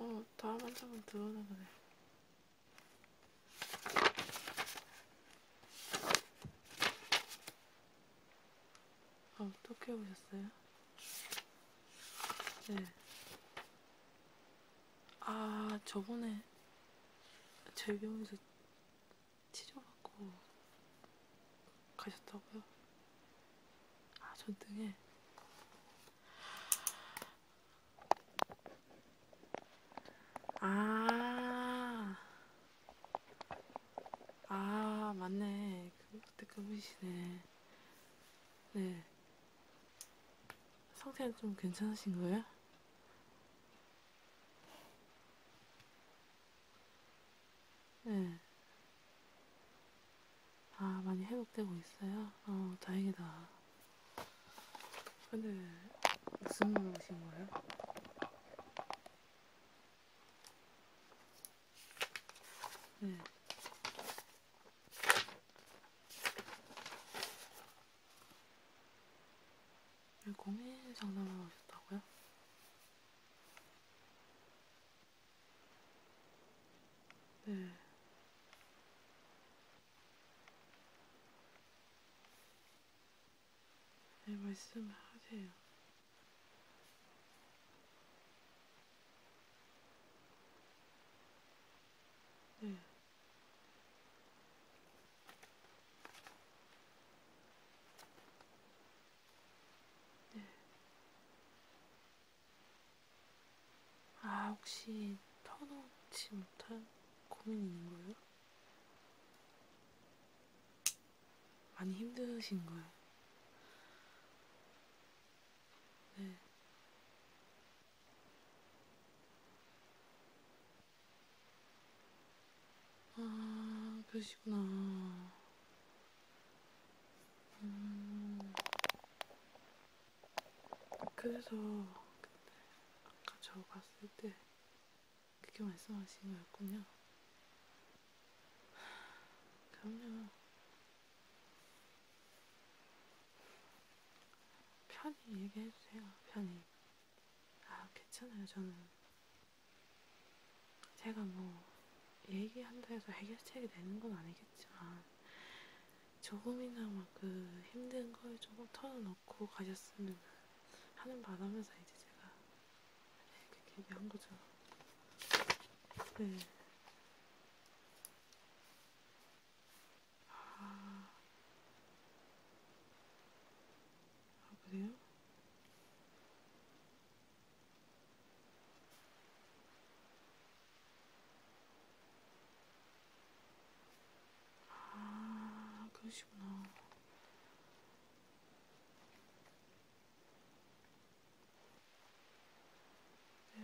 어, 다음 한 장은 들어오는 거네. 아, 어떻게 보셨어요? 네. 아, 저번에 질병에서 치료받고 가셨다고요? 아, 전 등에. 아, 아 맞네 그, 그때 그분이시네 네 상태는 좀 괜찮으신 거예요? 네. 아, 많이 회복되고 있어요? 어, 다행이다. 근데, 무슨 말 오신 거예요? 네. 고민 상담을 하셨다고요? 네. 네, 말씀하세요. 네. 네. 아, 혹시 터놓지 못한 고민이 있는 거예요? 많이 힘드신 거예요. 네. 아, 그러시구나. 음, 그래서, 그때, 아까 저 봤을 때, 그렇게 말씀하신 거였군요. 그럼요. 편히 얘기해주세요, 편히. 아, 괜찮아요, 저는. 제가 뭐, 얘기한다 해서 해결책이 되는 건 아니겠지만, 조금이나마 그 힘든 걸 조금 털어놓고 가셨으면 하는 바람에서 이제 제가 그렇게 얘기한 거죠. 네. 아, 아 그래요? 아, 그러시구나. 네.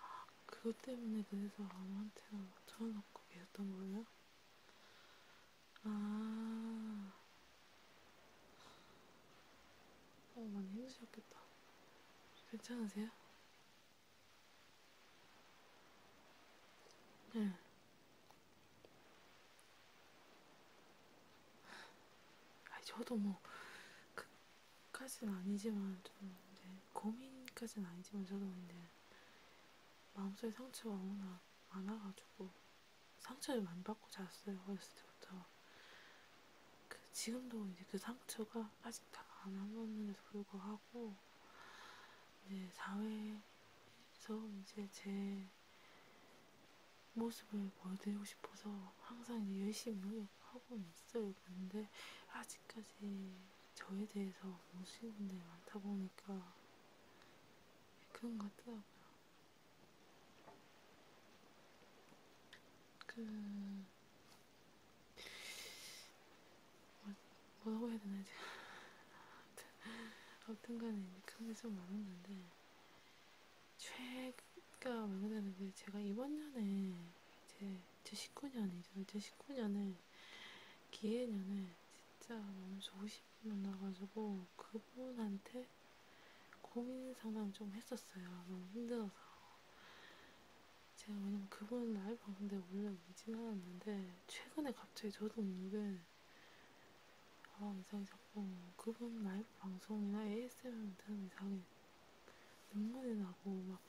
아, 그것 때문에 그래서 아무한테나 쳐놓고 계셨던 거예요? 아, 어, 많이 힘드셨겠다. 괜찮으세요? 응. 네. 아니, 저도 뭐, 그까지는 아니지만, 좀, 이제, 고민까지는 아니지만, 저도 뭐 이제, 마음속에 상처가 워낙 많아가지고, 상처를 많이 받고 잤어요, 어렸을 때부터. 그, 지금도 이제 그 상처가 아직 다안 아물었는데도 불구하고, 이제, 사회, 그래서 이제 제 모습을 보여드리고 싶어서 항상 열심히 노력하고는 있어요. 근데 아직까지 저에 대해서 모르시는 데 많다 보니까 그런 것 같더라고요. 그 뭐, 뭐라고 해야 되나, 이제. 아무튼, 아무튼 간에 그런 게좀 많았는데, 최가 왜냐면 그 제가 이번 년에, 이제, 제 19년이죠. 제 19년에, 기해년에, 진짜 너무 좋은 분이 만나가지고, 그분한테 고민 상담 좀 했었어요. 너무 힘들어서. 제가 왜냐면 그분 라이브 방송 때 원래 오진 않았는데, 최근에 갑자기 저도 모르게 아 이상이 자꾸 그분 라이브 방송이나 ASMR 들으면 이상이 눈물이 나고 막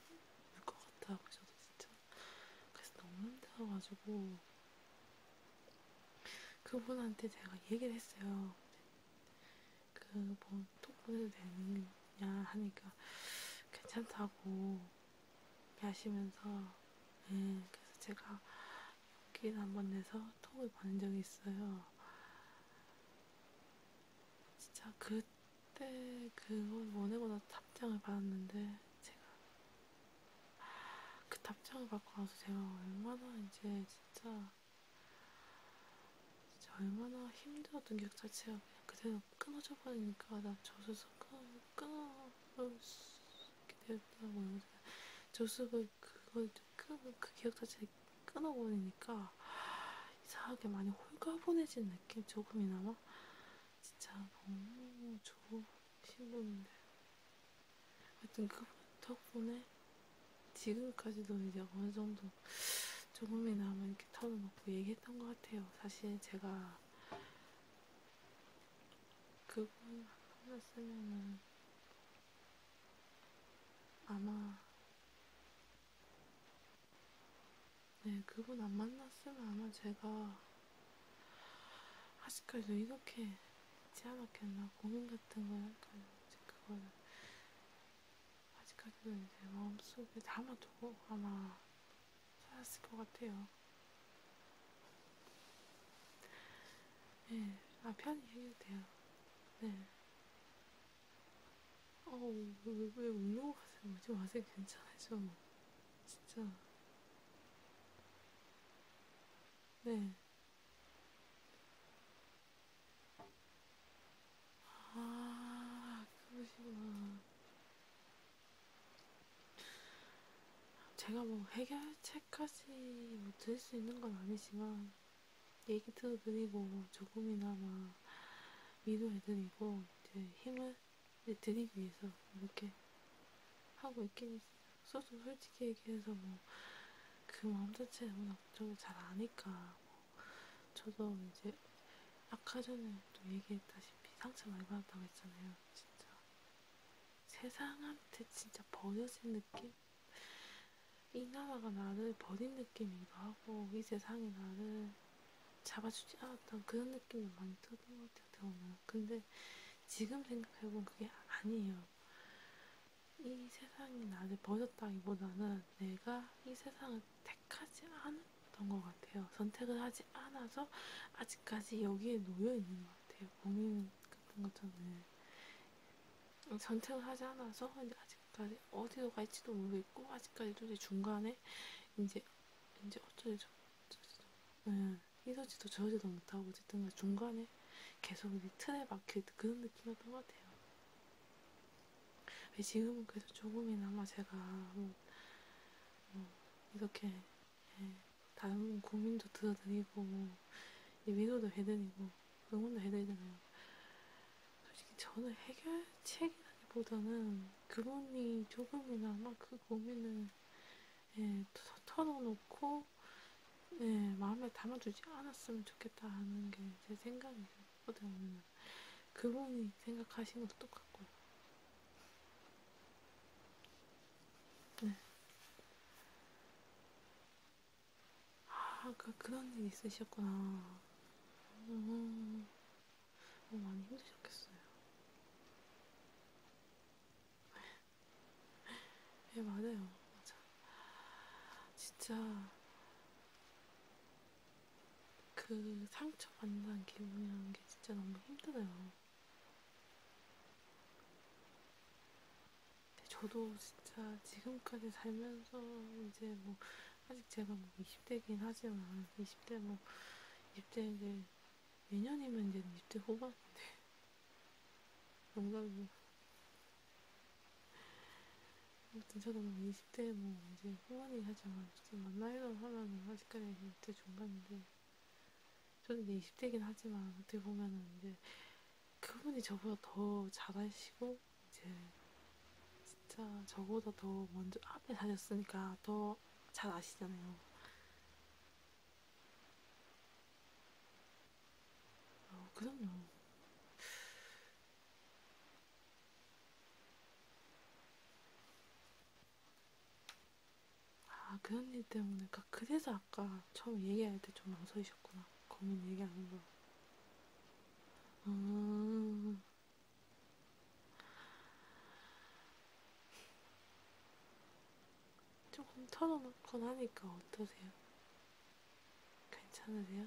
울 것 같아 그래서 진짜 그래서 너무 힘들어가지고 그분한테 제가 얘기를 했어요. 그뭐 톡 보내도 되느냐 하니까 괜찮다고 하시면서 네, 예, 그래서 제가 여기를 한번 내서 톡을 보낸 적이 있어요. 진짜 그때 그걸 원하고 나서 답장을 받았는데 제가 그 답장을 받고 나서 제가 얼마나 이제 진짜 진짜 얼마나 힘들었던 기억 자체가 그냥 그대로 그냥 끊어져 버리니까 나 저수서 끊어버릴 수 있게 되었다고요. 저수를 그걸 끊, 그 기억 자체를 끊어버리니까 이상하게 많이 홀가분해진 느낌 조금이나마 진짜 너무 좋은 신분인데 하여튼 그 덕분에 지금까지도 이제 어느 정도 조금이나마 이렇게 털어놓고 얘기했던 것 같아요. 사실 제가 그분 하나 쓰면은 아마 네 그분 안 만났으면 아마 제가 아직까지도 이렇게 있지 않았겠나 고민 같은 걸 할까요? 이제 그걸 아직까지도 이제 마음속에 담아두고 아마 살았을 것 같아요. 네, 아 편히 해도 돼요. 네. 어우, 왜, 왜, 왜 울려고 하세요? 오지 마세요. 괜찮아요. 진짜. 네. 아, 그러시구나. 제가 뭐 해결책까지 뭐 드릴 수 있는 건 아니지만 얘기 들어드리고 뭐 조금이나마 위로해드리고 이제 힘을 드리기 위해서 이렇게 하고 있긴 소소 솔직히 얘기해서 뭐 그 마음 자체에 워낙 걱정을 잘 아니까 뭐 저도 이제 아까 전에 또 얘기했다시피 상처 많이 받았다고 했잖아요 진짜 세상한테 진짜 버려진 느낌? 이 나라가 나를 버린 느낌이기도 하고 이 세상이 나를 잡아주지 않았던 그런 느낌이 많이 들었던 것 같아요. 들어오면. 근데 지금 생각해보면 그게 아니에요. 이 세상이 나를 버렸다기보다는 내가 이 세상을 택하지 않은 어떤 것 같아요. 선택을 하지 않아서 아직까지 여기에 놓여 있는 것 같아요. 고민 같은 것처럼 네. 선택을 하지 않아서 이제 아직까지 어디로 갈지도 모르겠고 아직까지도 이제 중간에 이제 이제 어쩌지도 어쩌지도 네, 이러지도 저러지도 못하고 어쨌든 중간에 계속 이제 틀에 막혀 있는 그런 느낌이었던 것 같아요. 네, 지금은 그래도 조금이나마 제가 뭐, 뭐 이렇게 네, 다른 고민도 들어드리고 위로도 해드리고 응원도 해드리잖아요. 솔직히 저는 해결책이라기보다는 그분이 조금이나마 그 고민을 예, 털어놓고 예, 마음에 담아주지 않았으면 좋겠다 하는 게 제 생각이에요. 어떻게 보면 그분이 생각하신 것도 똑같고요. 네. 아, 그, 그런 일 있으셨구나. 음, 어, 많이 힘드셨겠어요. 예, 네, 맞아요. 맞아. 진짜, 그 상처받는 기분이라는 게 진짜 너무 힘들어요. 저도 진짜 지금까지 살면서 이제 뭐 아직 제가 뭐 20대긴 하지만 20대 뭐 20대 이제 내년이면 이제 20대 후반인데 농담이고 아무튼 저도 뭐 20대 뭐 이제 후반이 하지만 지금 만나이도 하면은 아직까지 20대 중반인데 저는 이제 20대긴 하지만 어떻게 보면은 이제 그분이 저보다 더 잘하시고 이제 진짜 저보다 더 먼저 앞에 다녔으니까 더 잘 아시잖아요. 어, 그럼요. 아, 그 언니 때문에. 그러니까 그, 그래서 아까 처음 얘기할 때 좀 망설이셨구나. 고민 얘기하는 거. 음. 조금 털어놓곤 하니까 어떠세요? 괜찮으세요?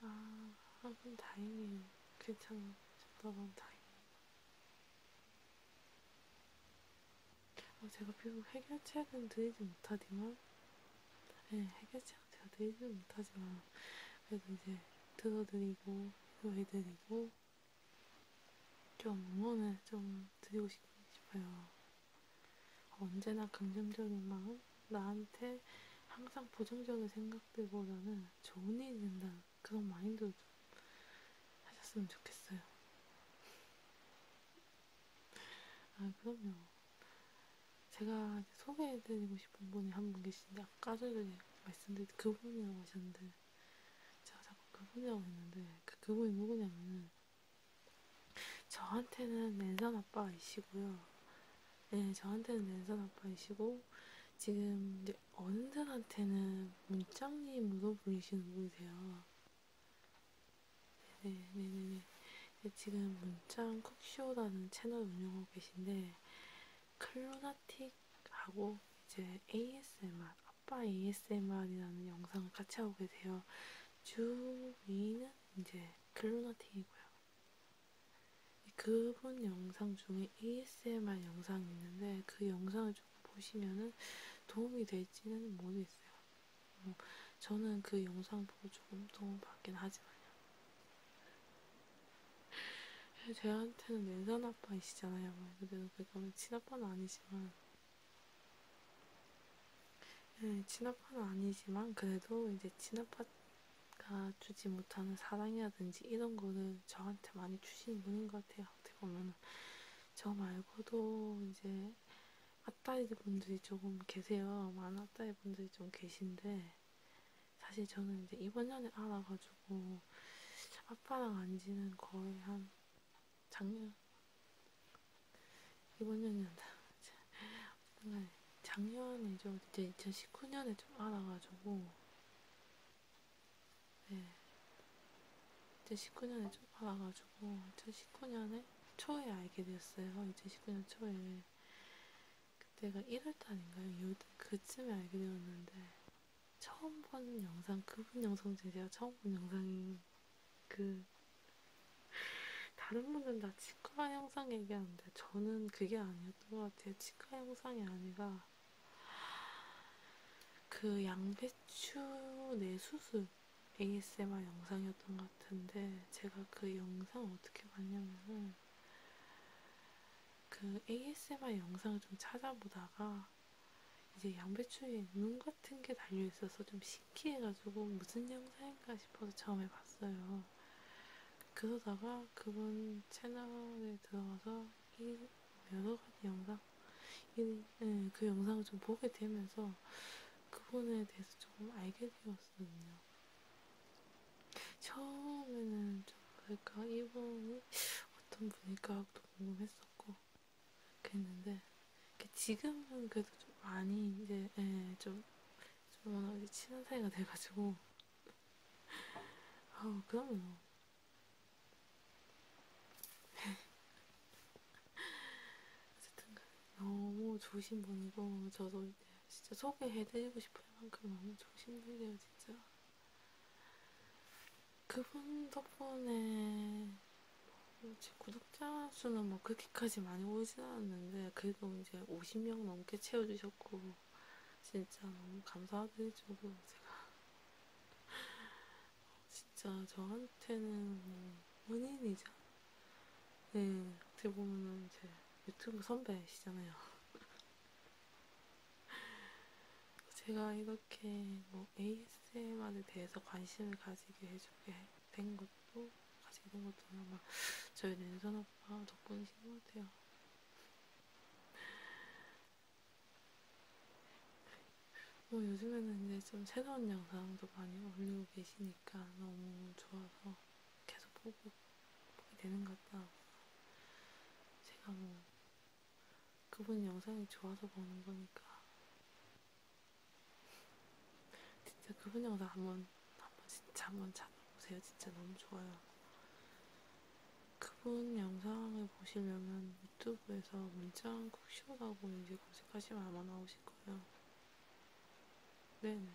아, 하긴 다행이에요. 괜찮아졌다면 다행입니다. 아, 제가 비록 해결책은 드리지 못하지만, 네, 예, 해결책은 제가 드리지 못하지만, 그래도 이제 들어드리고, 위로해드리고, 좀 응원을 좀 드리고 싶어요. 언제나 긍정적인 마음, 나한테 항상 부정적인 생각들보다는 좋은 일이 된다는 그런 마인드로 좀 하셨으면 좋겠어요. 아, 그럼요. 제가 소개해드리고 싶은 분이 한 분 계신데, 아까 전에 말씀드린 그분이라고 하셨는데, 제가 자꾸 그분이라고 했는데, 그 그분이 누구냐면은, 저한테는 랜선 아빠이시고요. 네, 저한테는 랜선 아빠이시고, 지금 이제 어느 분한테는 문장님으로 불리시는 분이세요. 네네네네. 네, 네. 네, 지금 문장 쿡쇼라는 채널 운영하고 계신데 클로나틱하고 이제 ASMR, 아빠 ASMR이라는 영상을 같이 하고 계세요. 주 위는 이제 클로나틱이고요. 그분 영상 중에 ASMR 영상이 있는데 그 영상을 조금 보시면은 도움이 될지는 모르겠어요. 어, 저는 그 영상 보고 조금 도움 받긴 하지만요. 저한테는 내산 아빠이시잖아요. 그래도 뭐 그건 친아빠는 아니지만, 네, 친아빠는 아니지만 그래도 이제 친아빠 가 주지 못하는 사랑이라든지 이런 거를 저한테 많이 주시는 분인 것 같아요. 어떻게 보면 저 말고도 이제 아따이 분들이 조금 계세요. 많은 아따이 분들이 좀 계신데 사실 저는 이제 이번 년에 알아가지고 아빠랑 안지는 거의 한 작년 이번 년이란다. 작년이죠. 이제 2019년에 좀 알아가지고 네. 2019년에 좀 알아가지고 2019년에 초에 알게 되었어요. 2019년 초에 그때가 1월달인가요? 2월달 그쯤에 알게 되었는데 처음 본 영상 그분 영상 중에 제가 처음 본 영상이 그 다른 분들은 다 치과 영상 얘기하는데 저는 그게 아니었던 것 같아요. 치과 영상이 아니라 그 양배추 내수습 ASMR 영상이었던 것 같은데 제가 그 영상을 어떻게 봤냐면은 그 ASMR 영상을 좀 찾아보다가 이제 양배추에 눈 같은 게 달려있어서 좀 신기해가지고 무슨 영상인가 싶어서 처음에 봤어요. 그러다가 그분 채널에 들어가서 이 여러 가지 영상, 이, 네, 그 영상을 좀 보게 되면서 그분에 대해서 조금 알게 되었거든요. 처음에는 좀 뭐랄까 이분이 어떤 분일까 궁금했었고 그랬는데 지금은 그래도 좀 많이 이제 예, 좀, 좀 워낙 친한 사이가 돼가지고 아우 그럼요. 어쨌든 너무 좋으신 분이고 저도 이제 진짜 소개해드리고 싶을 만큼 너무 좋으신 분이에요 진짜. 그분 덕분에 뭐 제 구독자 수는 뭐 그렇게까지 많이 오진 않았는데 그래도 이제 50명 넘게 채워주셨고 진짜 너무 감사하게 해주고 제가 진짜 저한테는 뭐 은인이자 네 어떻게 보면은 제 유튜브 선배시잖아요. 제가 이렇게 뭐 ASMR에 대해서 관심을 가지게 해주게 된 것도 가지게 된 것도 아마 저희 랜선 오빠 덕분이신 것 같아요. 뭐 요즘에는 이제 좀 새로운 영상도 많이 올리고 계시니까 너무 좋아서 계속 보고 보게 되는 것 같다. 제가 뭐 그분 영상이 좋아서 보는 거니까 진짜 그분 영상 한번 한번 진짜 한번 찾아보세요. 진짜 너무 좋아요. 그분 영상을 보시려면 유튜브에서 문짱 쿡쇼라고 이제 검색하시면 아마 나오실 거예요. 네네.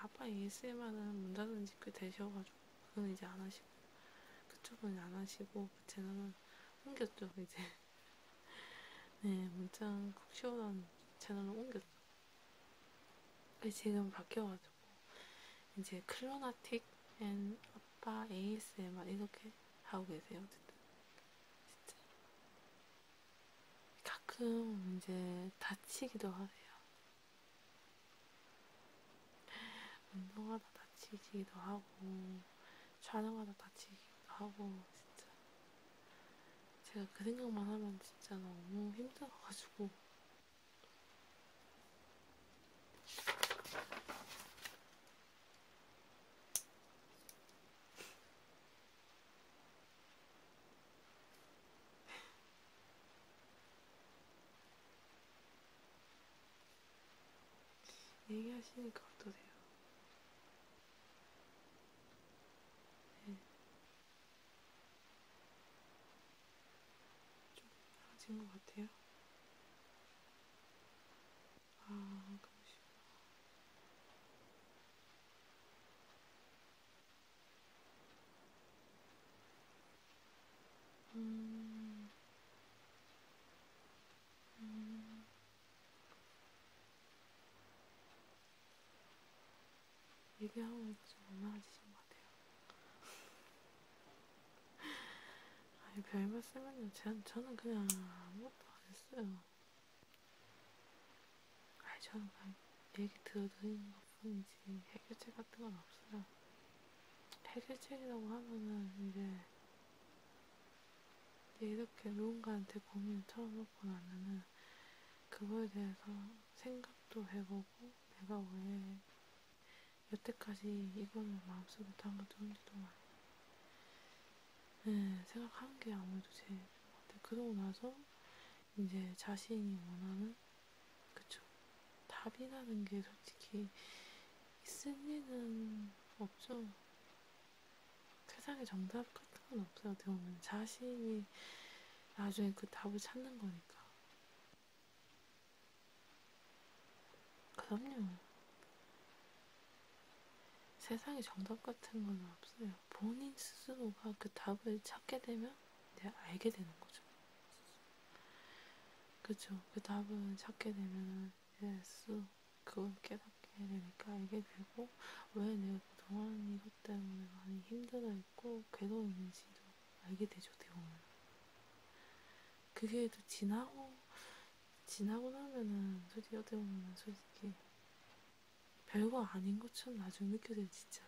아빠 ASMR은 문 닫은지 꽤 되셔가지고 그건 이제 안 하시고 그쪽은 안 하시고 그 채널은 옮겼죠 이제. 네 문짱 쿡쇼라는 채널을 옮겼죠. 네, 지금 바뀌어가지고 해가지고 이제 클로나틱 앤 아빠 ASMR 이렇게 하고 계세요. 어쨌든 진짜 가끔 이제 다치기도 하세요. 운동하다 다치기도 하고 촬영하다 다치기도 하고 진짜 제가 그 생각만 하면 진짜 너무 힘들어가지고 얘기하시니까 어떠세요? 네. 좀 나아진 것 같아요. 아, 그러시구나. 음, 음, 얘기하고 보니까 좀 엉망해지신 것 같아요. 아니, 별 말씀은요. 저는 그냥 아무것도 안 했어요. 아니, 저는 그냥 얘기 들어드리는 것 뿐이지 해결책 같은 건 없어요. 해결책이라고 하면은 이제 이렇게 누군가한테 고민을 털어놓고 나면은 그거에 대해서 생각도 해보고 내가 왜 여태까지 이거는 마음속으로 담가도 한지도 네, 생각한 게 아무래도 제일 좋은 그러고 나서 이제 자신이 원하는 그쵸 답이라는 게 솔직히 있을 리는 없죠. 세상에 정답 같은 건 없어요. 어떻게 보면 자신이 나중에 그 답을 찾는 거니까. 그럼요. 세상에 정답 같은 건 없어요. 본인 스스로가 그 답을 찾게 되면 내가 알게 되는 거죠. 그쵸. 그 답을 찾게 되면 내 스스로 그걸 깨닫게 되니까 알게 되고, 왜 내가 그동안 이것 때문에 많이 힘들어했고, 괴로웠는지도 알게 되죠, 대부분. 그게 또 지나고, 지나고 나면은, 솔직히 어떻게 보면, 솔직히, 별거 아닌 것처럼 나중에 느껴져요, 진짜.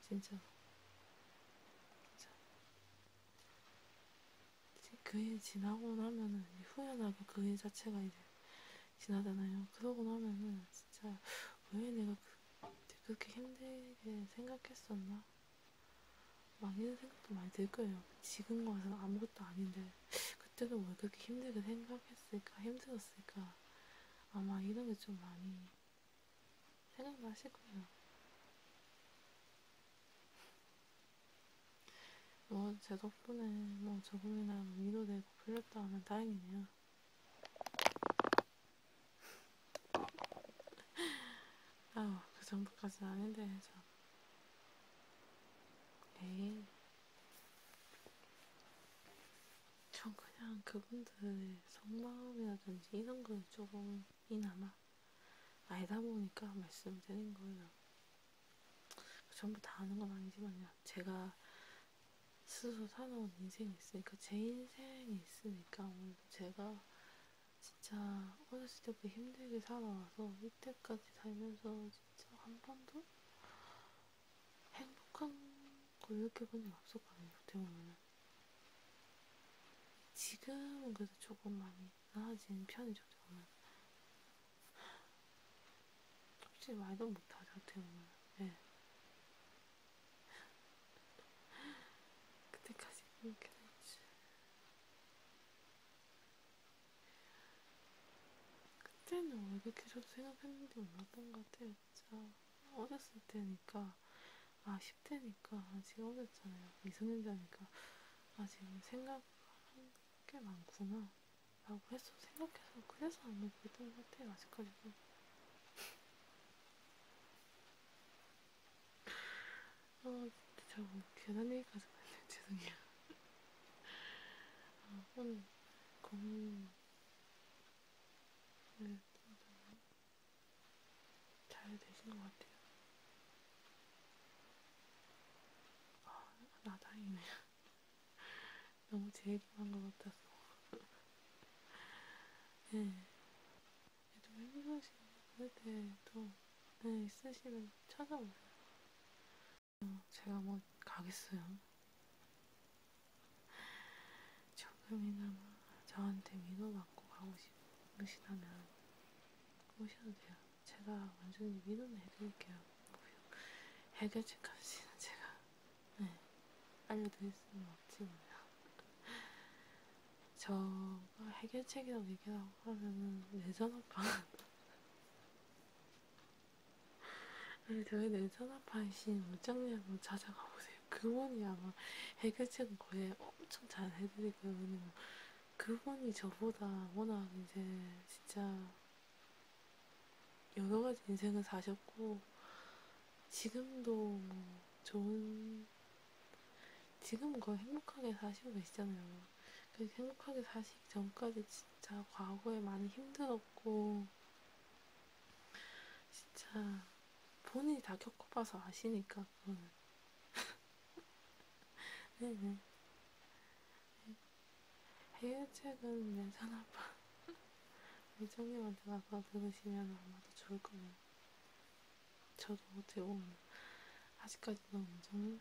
진짜. 진짜. 그게 지나고 나면은, 후회나고 그게 자체가 이제, 지나잖아요. 그러고 나면은, 진짜, 왜 내가 그 그렇게 힘들게 생각했었나? 많이는 생각도 많이 들 거예요. 지금 와서는 아무것도 아닌데 그때는 왜 그렇게 힘들게 생각했을까? 힘들었을까? 아마 이런 게 좀 많이 생각나실 거예요. 뭐 제 덕분에 뭐 조금이나마 위로되고 풀렸다 하면 다행이네요. 아우, 그 정도까지는 아닌데, 해서. 내일. 전 그냥 그분들의 속마음이라든지 이런 걸 조금이나마 알다 보니까 말씀드린 거예요. 전부 다 아는 건 아니지만요. 제가 스스로 살아온 인생이 있으니까, 제 인생이 있으니까, 제가 진짜 어렸을 때부터 힘들게 살아와서 이때까지 살면서 진짜 한 번도 행복한 걸 느껴본 적 없었거든요. 어떻게 그 보면은 지금은 그래도 조금 많이 나아진 편이죠. 저는 솔직히 말도 못하죠. 어떻게 보면. 예. 그때까지 이렇게 되지. 그때는 왜 이렇게 저도 생각했는지 몰랐던 것 같아요, 진짜. 어렸을 때니까, 아, 10대니까, 지금 어렸잖아요. 미성년자니까, 그 아, 지금 생각하는 게 많구나. 라고 해서 생각해서, 그래서 안 먹게 된것 같아요, 아직까지도. 아, 어, 진짜 저 뭐, 괜한 얘기까지 했네요. 죄송해요. 아, 오늘 고민을 좀잘 되신 것 같아요. 아, 나 아, 다행이네요. 너무 제 얘기만 한것 같아서. 네. 너무 힘드시면 그럴 때또 네, 있으시면 찾아오세요. 어, 제가 뭐 가겠어요. 조금이나마 저한테 믿어받고 가고 싶으시다면 오셔도 돼요. 제가 완전히 믿음을 해드릴게요. 해결책까지는 제가 네, 알려드릴 수는 없지만요. 저가 해결책이라고 얘기라고 하면은 내전화판 아니 저희 내전화판 신 어쩌냐고 찾아가 보세요. 그분이 아마 해결책은 거의 엄청 잘 해드릴 거예요. 왜냐면 그분이 저보다 워낙 이제 진짜 여러 가지 인생을 사셨고 지금도 뭐 좋은 지금 거의 행복하게 사시고 계시잖아요. 그 행복하게 사시기 전까지 진짜 과거에 많이 힘들었고 진짜 본인이 다 겪어봐서 아시니까 그거는 네네 해외책은 내전 아빠 우리 청님한테 나가 들으시면 아마도 좋을 겁니다. 저도 어떻게 보면 아직까지 너무 저는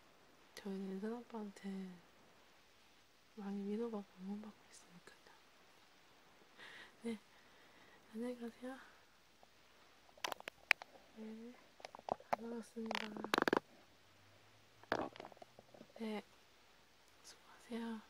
저희 인선 아빠한테 많이 위로받고 응원받고 있으니까요. 네, 안녕히 가세요. 네, 다녀왔습니다. 네, 수고하세요.